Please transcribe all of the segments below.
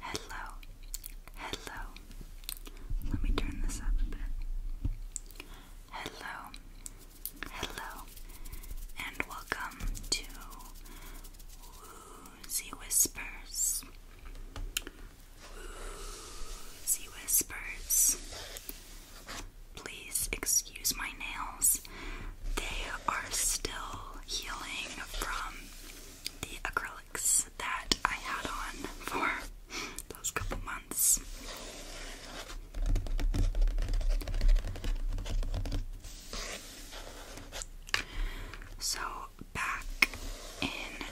Hello, hello. Let me turn this up a bit. Hello, hello, and welcome to Woozy Whispers. Woozy Whispers. Please excuse my nails. They are still healing from the acrylic that I had on for those couple months. So, back in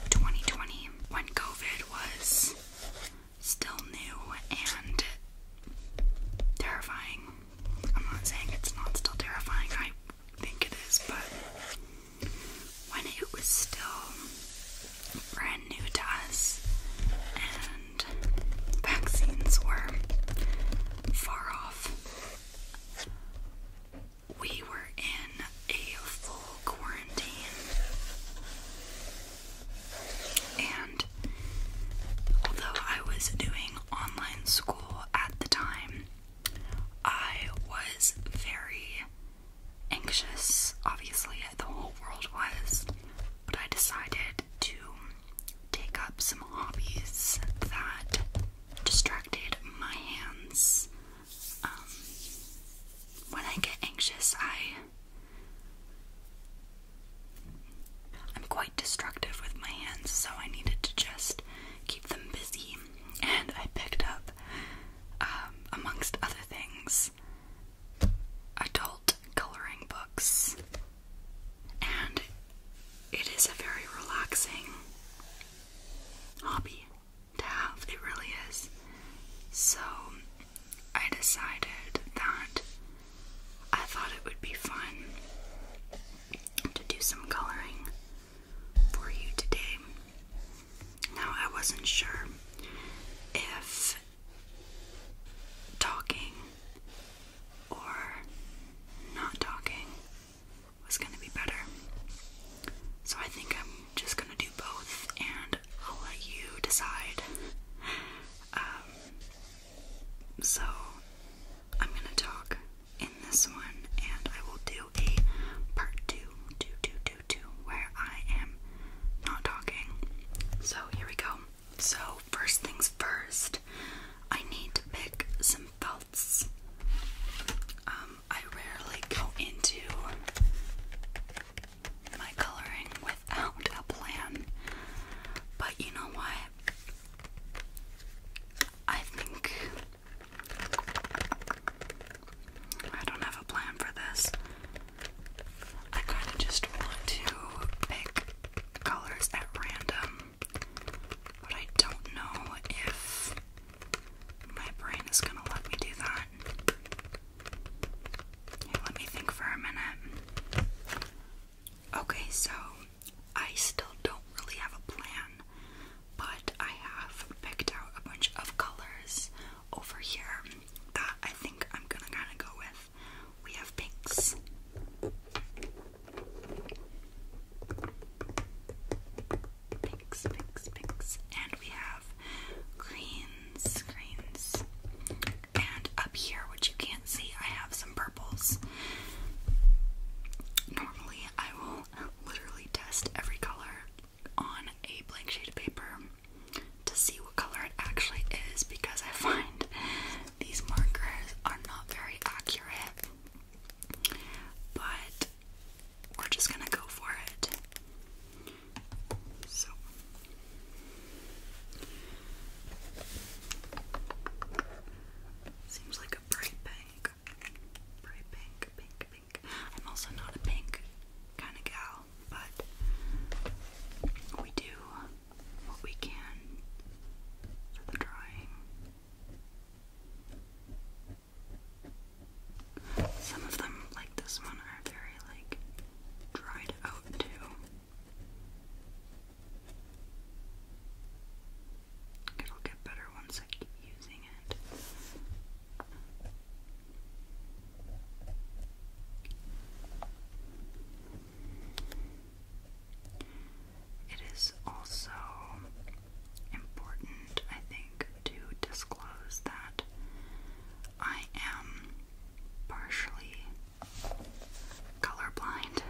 2020, when COVID was still new and terrifying, I'm not saying it's not still terrifying, I think it is, but when it was still brand new to us and vaccines were far off. We were in a full quarantine, and although I was doing online school at the time, I was very anxious, obviously, the whole world was, but I decided to take up some hobbies that distracted my hands. Um, when I get anxious, I. I'm quite destructive with my hands, so I needed to just keep them busy and I picked up, um, amongst other things, adult coloring books. And it is a very relaxing hobby to have, it really is. So I decided that I thought it would be fun to do some coloring for you today. Now, I wasn't sure if talking or not talking was going to be better. So I think I'm just going to do both and I'll let you decide. Um, so I'm going to talk in this one, and I will do a part two, two, two, two, two, where I am not talking. So here we go. So first things first, I need to pick some felts. Um, I rarely go into my coloring without a plan, but you know what? I think I don't have a plan for this. I kind of just want to pick colors at random, but I don't know if my brain is gonna let me do that. let me think for a minute. Okay, so I still don't really have a plan but I have picked out a bunch of colors over here that I think I'm gonna kind of go with. We have pinks. Pinks, pinks, And we have greens, greens. And up here, which you can't see, I have some purples. Normally, I will literally test every color on a blank sheet of paper to see what color it actually is because I find these markers are not very accurate. But we're just gonna go for it. So. Seems like a bright pink. Bright pink, pink. I'm also not a pink kind of gal, but we do what we can for the drawing. Some of them, like this one, are very like dried out too. It'll get better once I keep using it. It is also important, I think, to disclose that I am partially colorblind.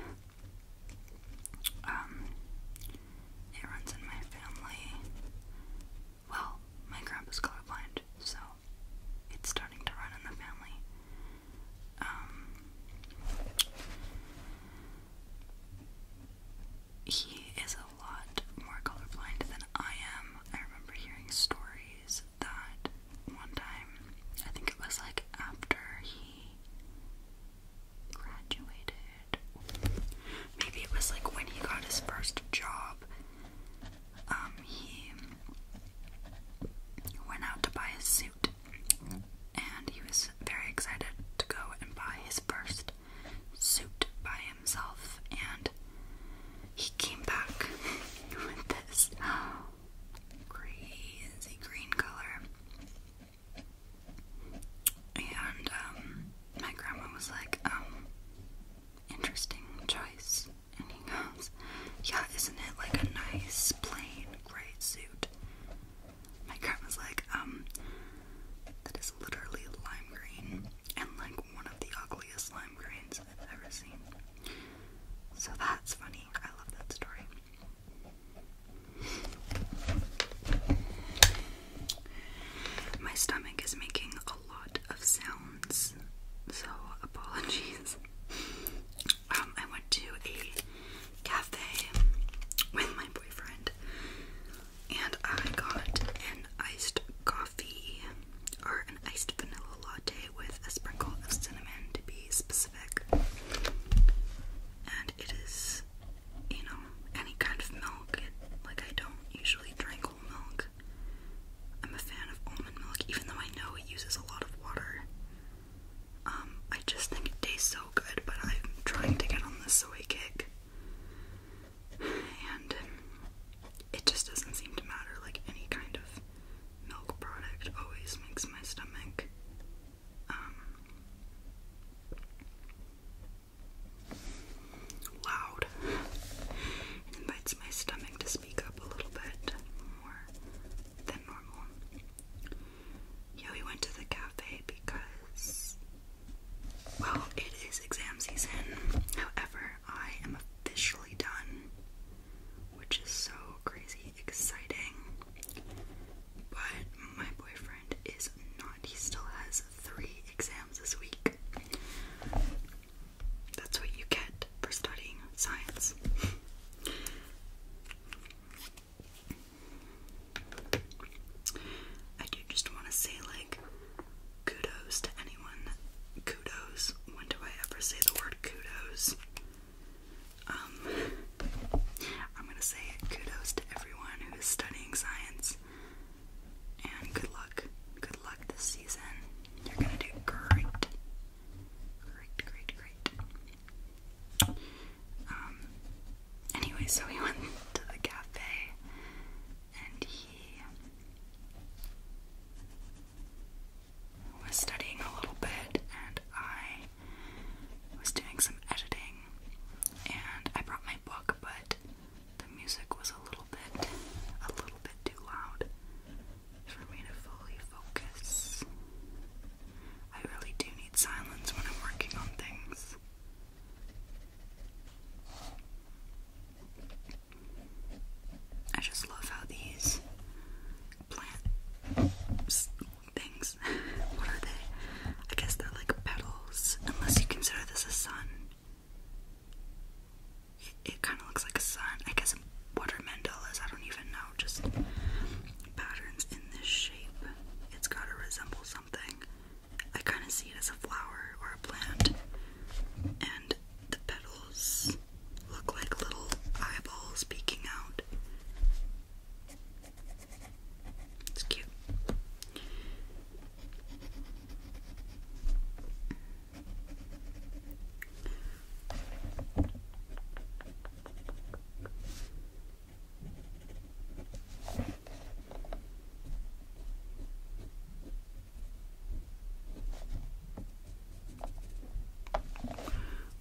Um, it runs in my family. Well, my grandpa's colorblind, so it's starting to run in the family. Um, he is a lot more colorblind than I am. I remember hearing stories that one time, I think it was like after he graduated. Maybe it was like when he got his first job. Um, he went out to buy a suit, and he was very excited to go and buy his first suit by himself. And he came back with this crazy green color and um, my grandma was like, um, interesting choice. And he goes, yeah, isn't it like a nice plain gray suit? My grandma's like, um, that is literally lime green and like one of the ugliest lime greens I've ever seen. So that's funny. I love that story. My stomach is making a lot of sounds, so apologies. Um, I went to a cafe with my boyfriend and I got an iced coffee or an iced vanilla latte with a sprinkle of cinnamon to be specific. And it is you know, any kind of milk. like, I don't usually drink whole milk. I'm a fan of almond milk, even though I know it uses a lot of water. Um, I just think it tastes so good, but I'm trying to get on this soy kick. And it just doesn't seem to matter. Like, any kind of milk product always makes my stomach, um, loud. invites my stomach to speak up a little bit more than normal. Yeah, we went to the cafe because, well, it is exam season. However, I am officially done, which is so crazy exciting. But my boyfriend is not he still has three exams this week. That's what you get for studying science. I do just want to say, like, kudos to anyone. Kudos. When do I ever say the word kudos? Um, I'm gonna say it. Kudos to everyone who is studying science. And good luck. Good luck this season. You're gonna do great. Great, great, great. Um anyway, so we went to the cafe and he was studying a little bit and I was doing some editing and I brought my book but the music was a little bit, a little bit too loud for me to fully focus. I really do need silence when I'm working on things. I just love how these plant things, what are they? I guess they're like petal unless you consider this a sun. It kind of looks like a sun. I guess what are mandalas? I don't even know. Just patterns in this shape. It's got to resemble something. I kind of see it as a flower or a plant, and the petals look like little eyeballs peeking out. It's cute.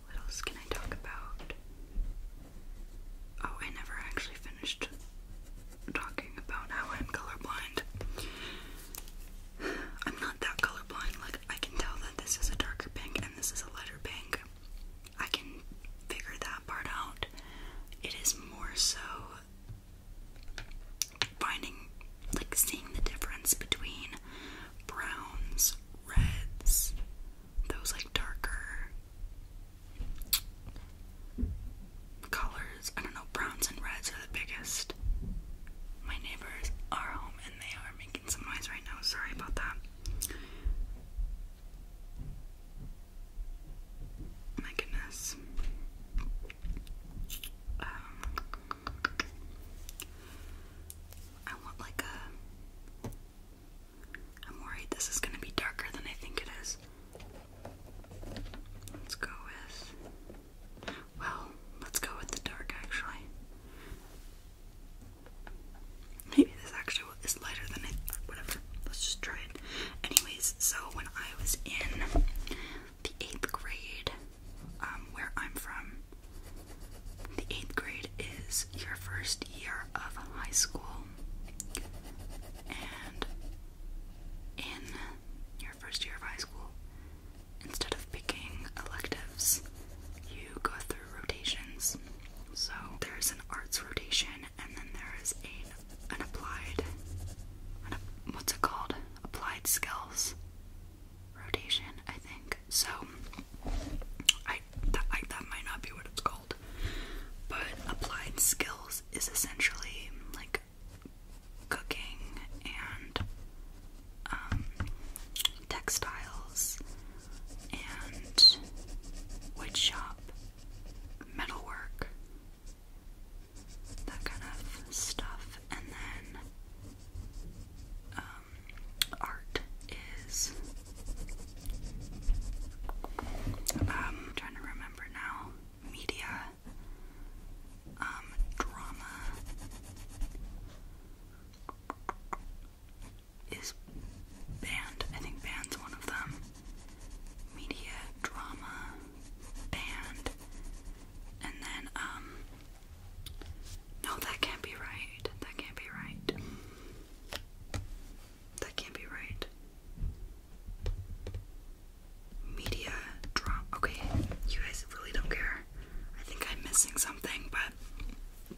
What else can I talk about? Oh, I never actually finished talking about how I'm colorblind. I'm not that colorblind, like, I can tell that this is a darker pink and this is a lighter pink. I can figure that part out. It is more so finding, like, seeing the difference between browns, reds, those, like, darker colors. I don't know, browns and reds are the biggest. My neighbors are home and they are making some noise right now. Sorry about that. My goodness. Um, I want like a. I'm worried this is gonna be darker than I think it is. Let's go with. Well, let's go with the dark actually. Maybe this actually is lighter than it. Whatever. Let's just try it. Anyways, so when I was in the eighth grade, um, where I'm from, the eighth grade is your first year of high school, and in your first year of high school, instead of picking electives, you go through rotations. So there's an arts rotation, and then there is a, an applied, what's it called? Applied skills rotation, I think. So I that, that might not be what it's called, but applied skills is essentially like cooking and um, textiles and woodshop, metalwork, that kind of stuff, and then um, art is. Um, I'm trying to remember now media, um, drama is band. I think band's one of them. Media, drama, band, and then um. No, that can't be right. That can't be right. That can't be right. Media drama. Okay, you guys really don't care. I think I'm missing something, but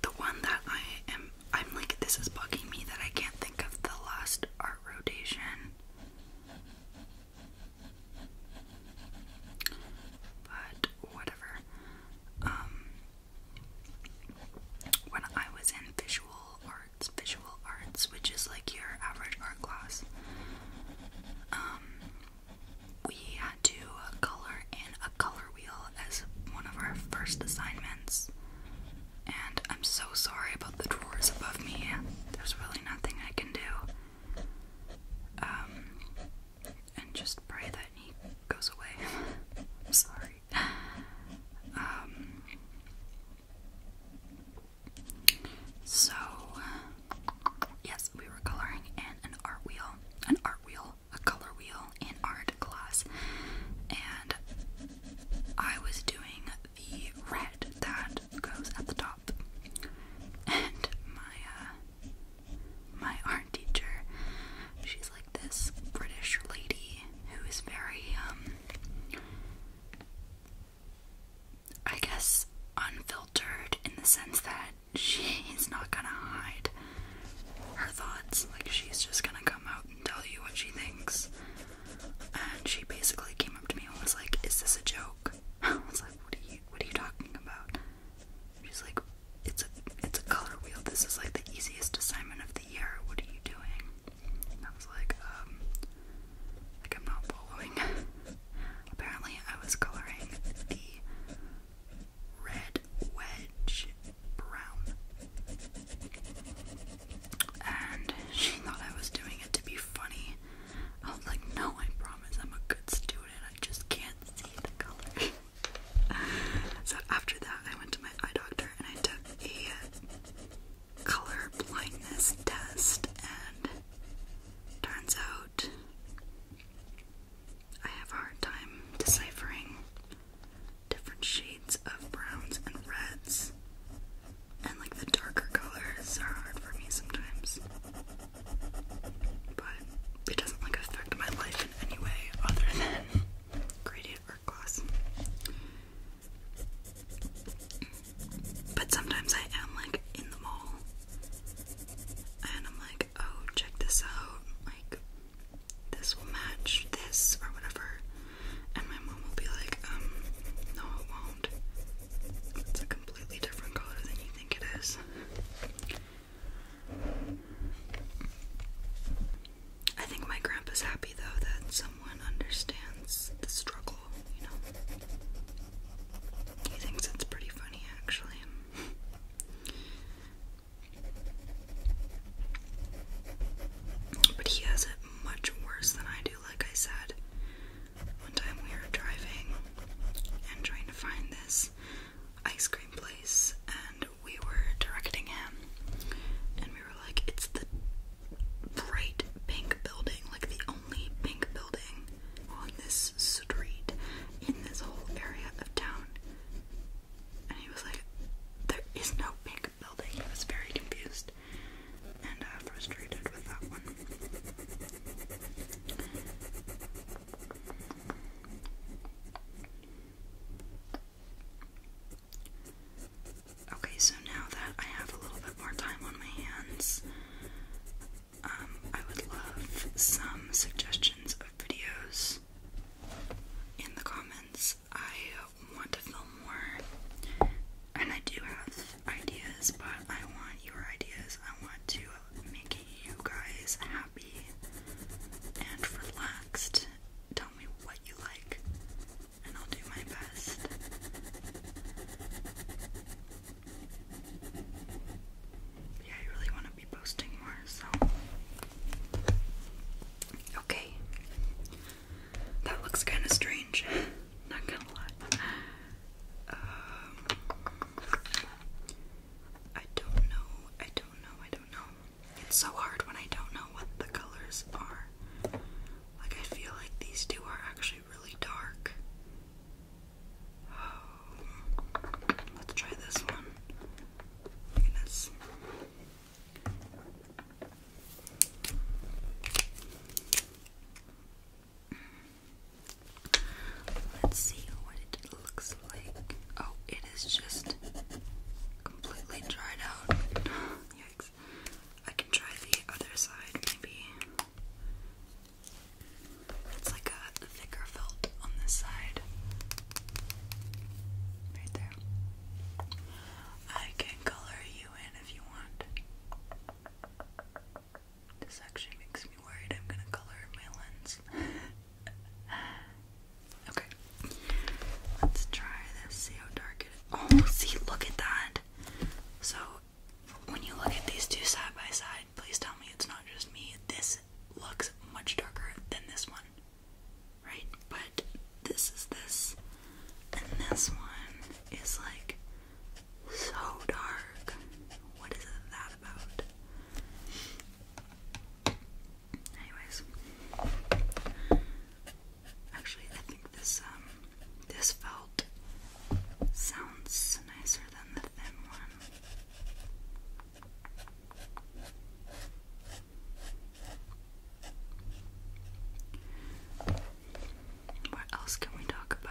the one that I am, I'm like, this is bugging me that I can't think of the last art rotation. But whatever. Um, when I was in visual art visual arts, which is like your average art class. Um, we had to color in a color wheel as one of our first assignments. And I'm so sorry about the drawers above me. There's really nothing I can do. Um, and just pray that he goes away. I'm sorry. Um, so, yes, we were coloring in an art wheel, an art wheel, a color wheel in art class, and I was doing the red that goes at the top. And my uh, my art teacher, she's like this British lady who is very um I guess, unfiltered in the sense that she's not gonna hide her thoughts. Like, she's just gonna come out and tell you what she thinks. And she basically came up to me and was like, Is this a joke? I was like, What are you what are you talking about? She's like, It's a it's a color wheel. This is like the easiest assignment of the year. What are you doing? I was like, um, like I'm not following. Apparently, I was coloring the red wedge brown. And she thought I was doing it to be funny. I was like, no, I promise I'm a good student. I just can't see the color. so after that, I went to my eye doctor and I took a color blindness test, and turns out I have hard time deciphering different shades of browns and reds, and like the darker colors are hard for me sometimes. But it doesn't like affect my life in any way other than graded art class. But sometimes I am like in the mall and I'm like, oh, check this out. Like, this will match this or whatever. And my mom will be like, um, no, it won't. It's a completely different color than you think it is. I think my grandpa's happy though that some someone understands the struggle, you know. He thinks it's pretty funny, actually. But he has it much worse than I do, like I said. One time we were driving and trying to find this ice cream place, and we were directing him, and we were like, It's the bright pink building, like the only pink building on this street in this whole area of town. And he was like, There is no pink building. I was very confused and uh, frustrated with that one. Okay, so now that I have a little bit more time on my hands, um, I would love some suggestions of videos in the comments. I want to film more, and I do have ideas, but I want your ideas. I want to make you guys happy and relaxed. Tell me what you like. I'll do my best. Yeah, I really want to be posting more, so. Okay. That looks kind of strange. Not gonna lie. Um, I don't know. I don't know. I don't know. It's so hard when I don't know what the colors are. Like, I feel like these two are actually really dark. Oh, let's try this one. Let's see what it looks like. Oh, it is just completely dried out. I can try the other side, maybe. It's like a thicker felt on this side. Right there. I can color you in if you want. This actually makes me worried I'm gonna color my lens. okay. Let's try this, see how dark it is. Oh, see, look at that! So when you look at these two side by side, please tell me it's not just me. This looks much darker than this one, right? But this is this, and this one is like so dark. What is that about? Anyways, actually, I think this um, this felt sounds nicer than the thin one. What else can we talk about?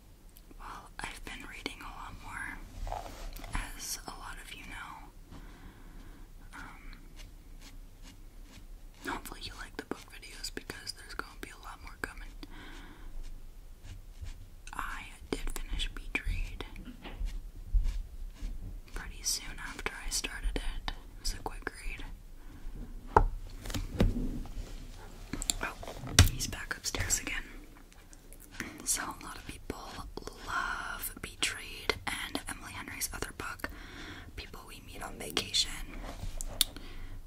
Well, I've been reading a lot more, as a lot of you know. Um, hopefully, you like the book videos because there's going to be a lot more coming. I did finish Beach pretty soon after I started it. It was a quick read. Oh, he's back upstairs again. So, a lot of people love Betrayed and Emily Henry's other book, People We Meet on Vacation.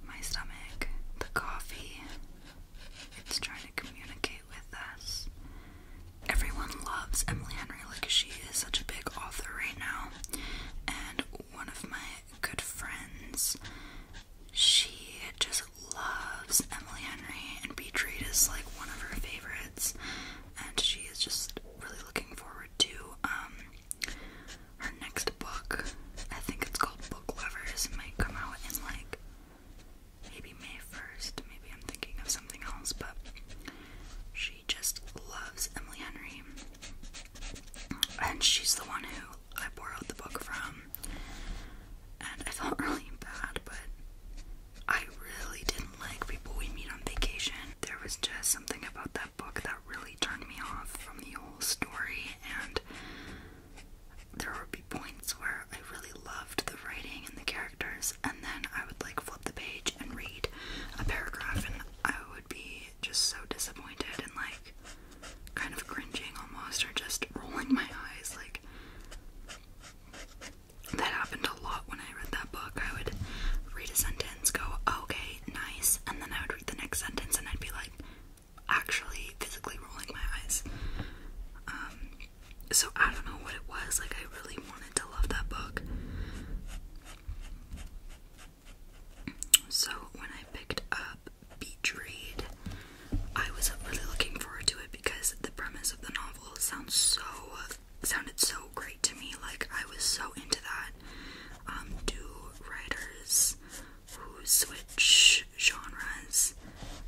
My stomach, the coffee, it's trying to communicate with us. Everyone loves Emily Henry, like, she is such a big author right now. And one of my good friends she just loves Emily Henry, and Beatrice is like one of her favorites, and she is just really looking forward to um her next book. I think it's called Book Lovers. It might come out in like maybe May first. Maybe I'm thinking of something else, but she just loves Emily Henry, and she's the one who I borrowed the book from, and I felt really bad, but I really didn't like people we meet on vacation. There was just something about that book that really turned me off from the whole story, and there would be points where I really loved the writing and the characters, and then I would like flip the page and read a paragraph, and I would be just so disappointed and like kind of cringing almost or just rolling my eyes like that happened a lot when I read that book. I would read a sentence, go, oh, okay, nice, and then I would read the next sentence and I'd be like actually physically rolling my eyes. Um so I don't know what it was, like I really wanted to love that book. So when I picked up beach read. I was really looking forward to it because the premise of the novel sounds so sounded so great to me. Like I was so into that. Um, do writers who switch genres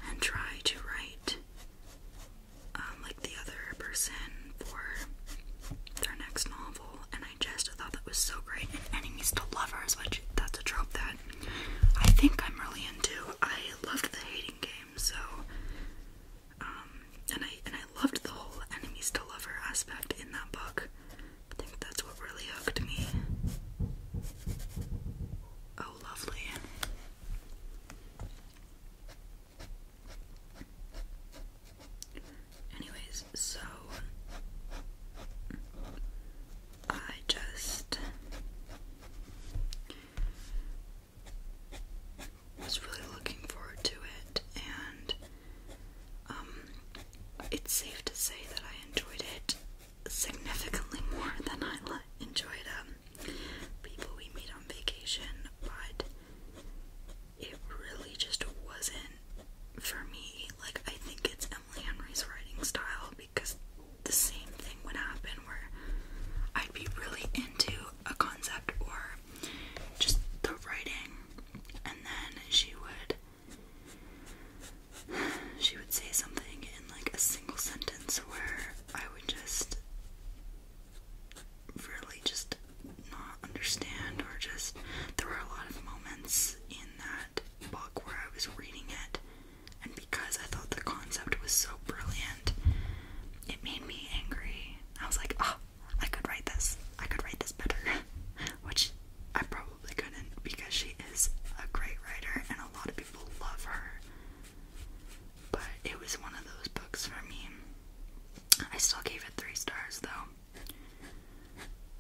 and try to write um, like the other person for their next novel? And I just thought that was so great. And enemies to lovers, which that's a trope that I think I'm really into. I loved the Hating Game, so um, and I and I loved the whole enemies to lover aspect in that book. I think that's what really hooked me. Oh, lovely. Anyways, so I just was really looking forward to it, and um, it's safe to say that I enjoyed it significantly more than I enjoyed um, people we meet on vacation, but it really just wasn't for me. Like, I think it's Emily Henry's writing style because the same thing would happen where I'd be really into a concept or just the writing, and then she would she would say something in like a single sentence where I would just really just not understand or just there were a lot of moments in that book where I was reading it, and because I thought the concept was so brilliant, it made me angry. I was like, oh, I could write this. I could write this better. Which I probably couldn't because she is a great writer and a lot of people love her. But it was one of those books for me. I still gave it three stars though.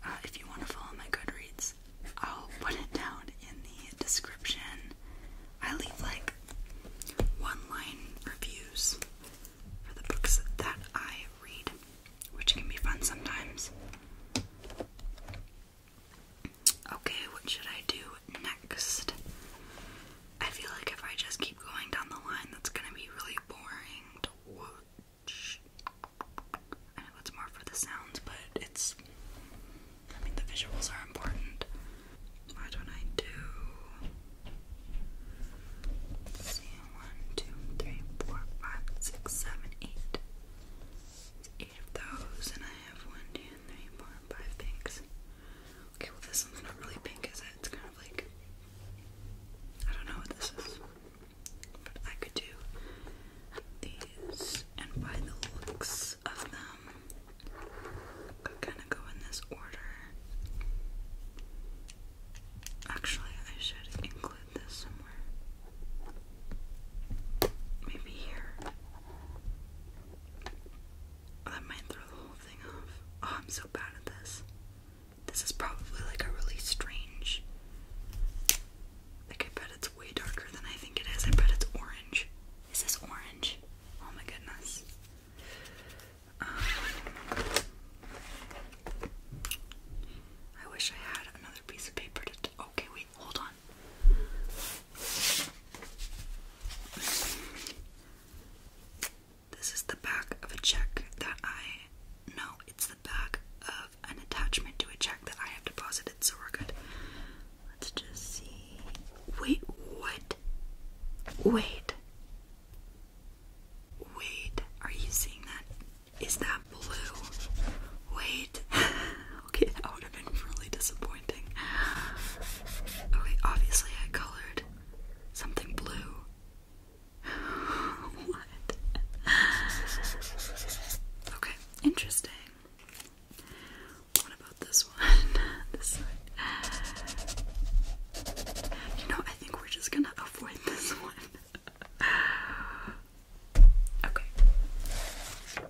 Uh, if you want to follow my Goodreads, I'll put it down in the description. I leave like one line reviews for the books that I read, which can be fun sometimes. Okay, what should I do next? I feel like if I just keep going down the line, that's gonna be really boring I know it's more for the sounds, but it's. I mean, the visuals are important. Why do I do. see, 1, 8. of those, and I have 1, Okay, well, this one's not really pink, is it? It's kind of like. I don't know what this is. But I could do these, and by the looks of them, could kind of go in this order. Actually, I should include this somewhere. Maybe here. That might throw the whole thing off. Oh, I'm so bad at this. This is probably like a really strange. Like, I bet it's it's way darker than I think it is. I bet it's orange. Is this orange? Oh my goodness. Um, I wish I had another piece of paper Okay, wait, hold on. This is the back of a check that I. No, it's the back of an attachment to a check that I have deposited, so we're good. Let's just see. Wait, what? Wait. Wait, are you seeing that? Is that blue? Wait. okay, that would have been really disappointing. Okay, obviously I colored something blue. what? Okay, interesting. What about this one? this side. You know, I think we're just gonna avoid this one. okay.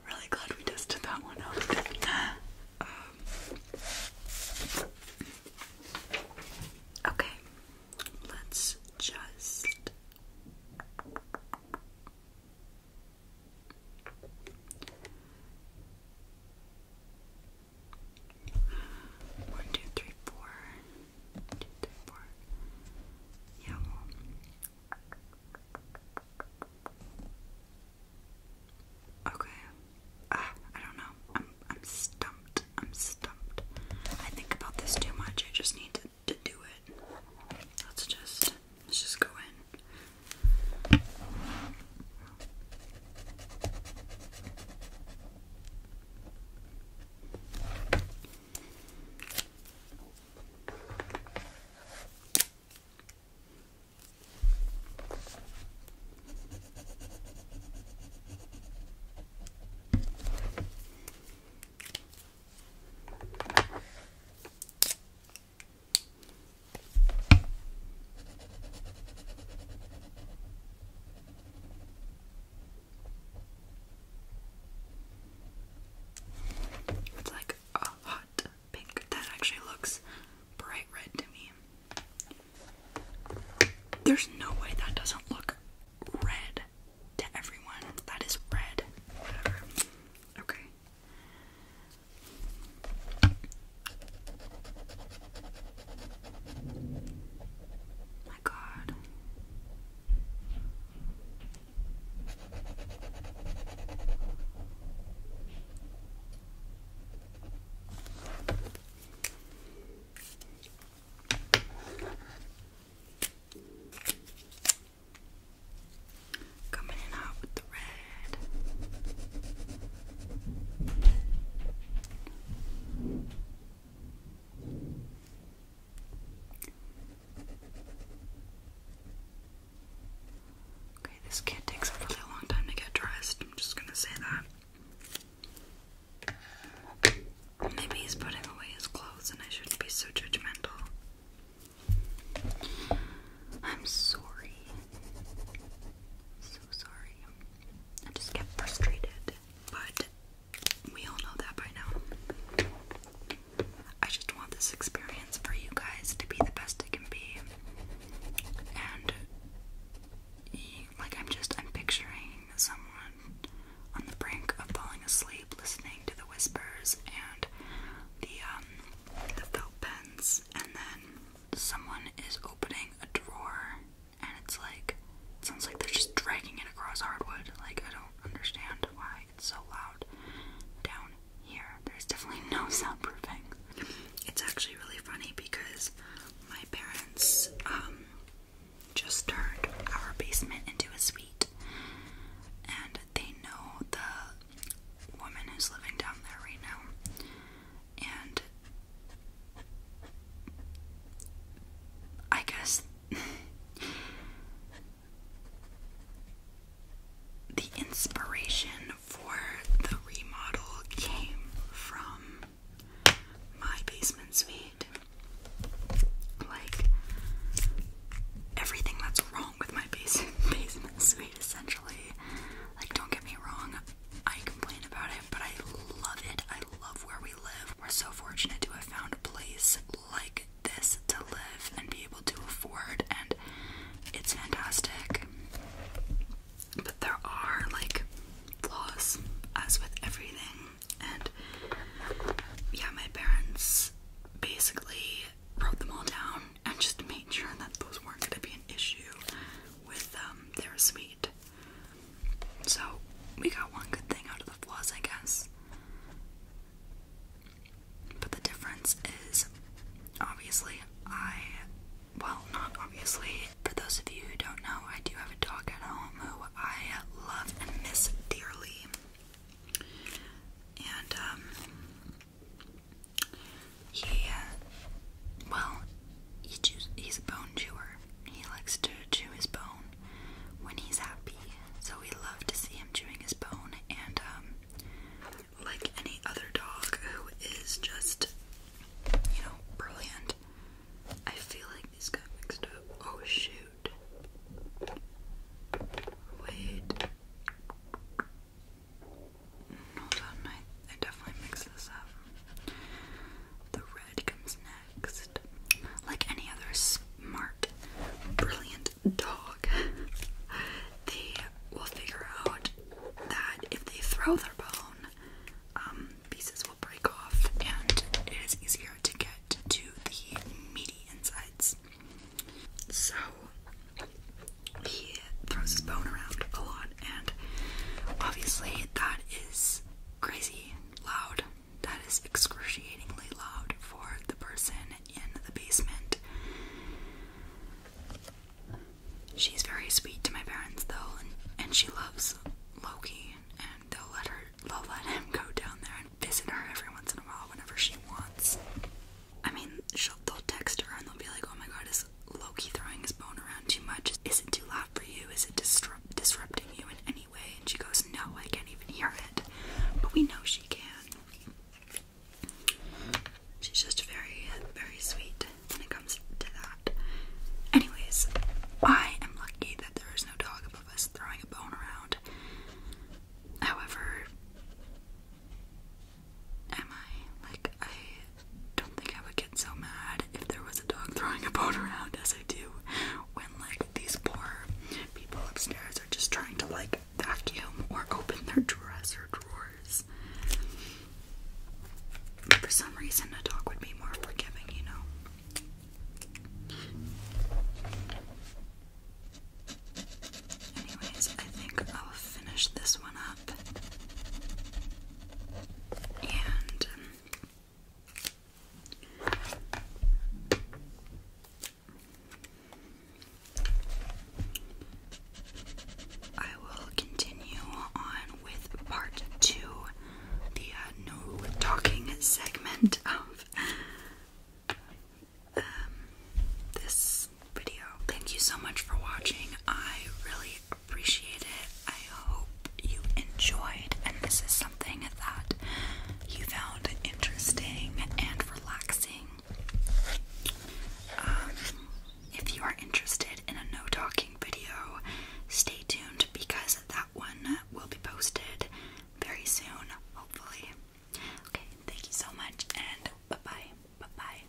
Really glad we tested that one out. Um, okay, let's just. One, two, three, four. One, two, three, four. Yeah, Okay. Ah, I don't know. I'm I'm stumped. I'm stumped. I think about this too much. I just need to to, do it. Let's just let's just go in. It's like a hot pink that actually looks bright red to me. There's no way that doesn't look red to everyone. That is red. Whatever. Okay. My God. Coming in with the red. Okay, this kit takes a really long time to get dressed. I'm just gonna say that. Maybe he's putting away his clothes, and I shouldn't be so judgmental. I'm sorry. So sorry. I just get frustrated, but we all know that by now. I just want this experience for you guys to be the best it can be. And like I'm just I'm picturing someone on the brink of falling asleep listening to the whispers and um, the felt pens and then someone is opening a drawer and it's like sounds like they're just dragging it across hardwood. Like I don't understand why it's so loud down here. There's definitely no soundproofing. It's actually really funny because my parents um, just turned our basement into a suite and they know the woman who's living down there right now. And I guess the inspiration for the remodel came from my basement suite. Like, everything that's wrong with my base basement suite, essentially. Like, don't get me wrong, I complain about it, but I love it. I love where we live. We're so fortunate to have found a place like this to live and be able to afford, and it's fantastic. But there are like flaws, as with everything, and yeah, my parents basically wrote them all down and just made sure that those weren't going to be an issue with um, their sweet. So we got one good thing out of the flaws, I guess. But the difference is obviously, I. Well, not obviously. For those of you who don't know, I do have a dog at home who I love and miss dearly. And, um, he, uh, well, he he's a bone chewer. He likes to chew his bone when he's happy, so we love to see him chewing his bone. And, um, like any other dog who is just, you know, brilliant, I feel like these got mixed up. Oh, shoot. Wait. Hold on, I, I definitely mix this up. The red comes next. Like any other smart, brilliant dog, they will figure out that if they throw their bone, um, pieces will break off, and it is easier to get to the meaty insides. So he throws his bone around a lot, and obviously that is crazy loud. That is excruciatingly loud for the person in the basement. She's very sweet to my parents though, and, she loves Loki, and they'll let her, they'll let him go down there and visit her every once in a while whenever she wants. I mean, she'll, they'll text her and they'll be like, oh my god, is Loki throwing his bone around too much? Is it too loud for you? Is it disrupt disrupting you in any way? And she goes, no, I can't even hear it. But we know she can. She's just very, very sweet when it comes to that. Anyways, I am lucky that there is no dog above us throwing a bone around. However, Am I? Like, I don't think I would get so mad if there was a dog throwing a bone around as I do when, like, these poor people upstairs are just trying to, like, vacuum or open their dresser drawers. For some reason, a dog would be more forgiving, you know? Anyways, I think I'll finish this one up. And um, I will continue on with part two, the uh, no talking segment of um, this video. Thank you so much for watching. I really appreciate it. I hope you enjoyed and this is something that you found interesting and relaxing. Um, if you are interested in a no talking video, stay tuned because that one will be posted very soon, hopefully. Okay, thank you so much, and bye bye. Bye bye.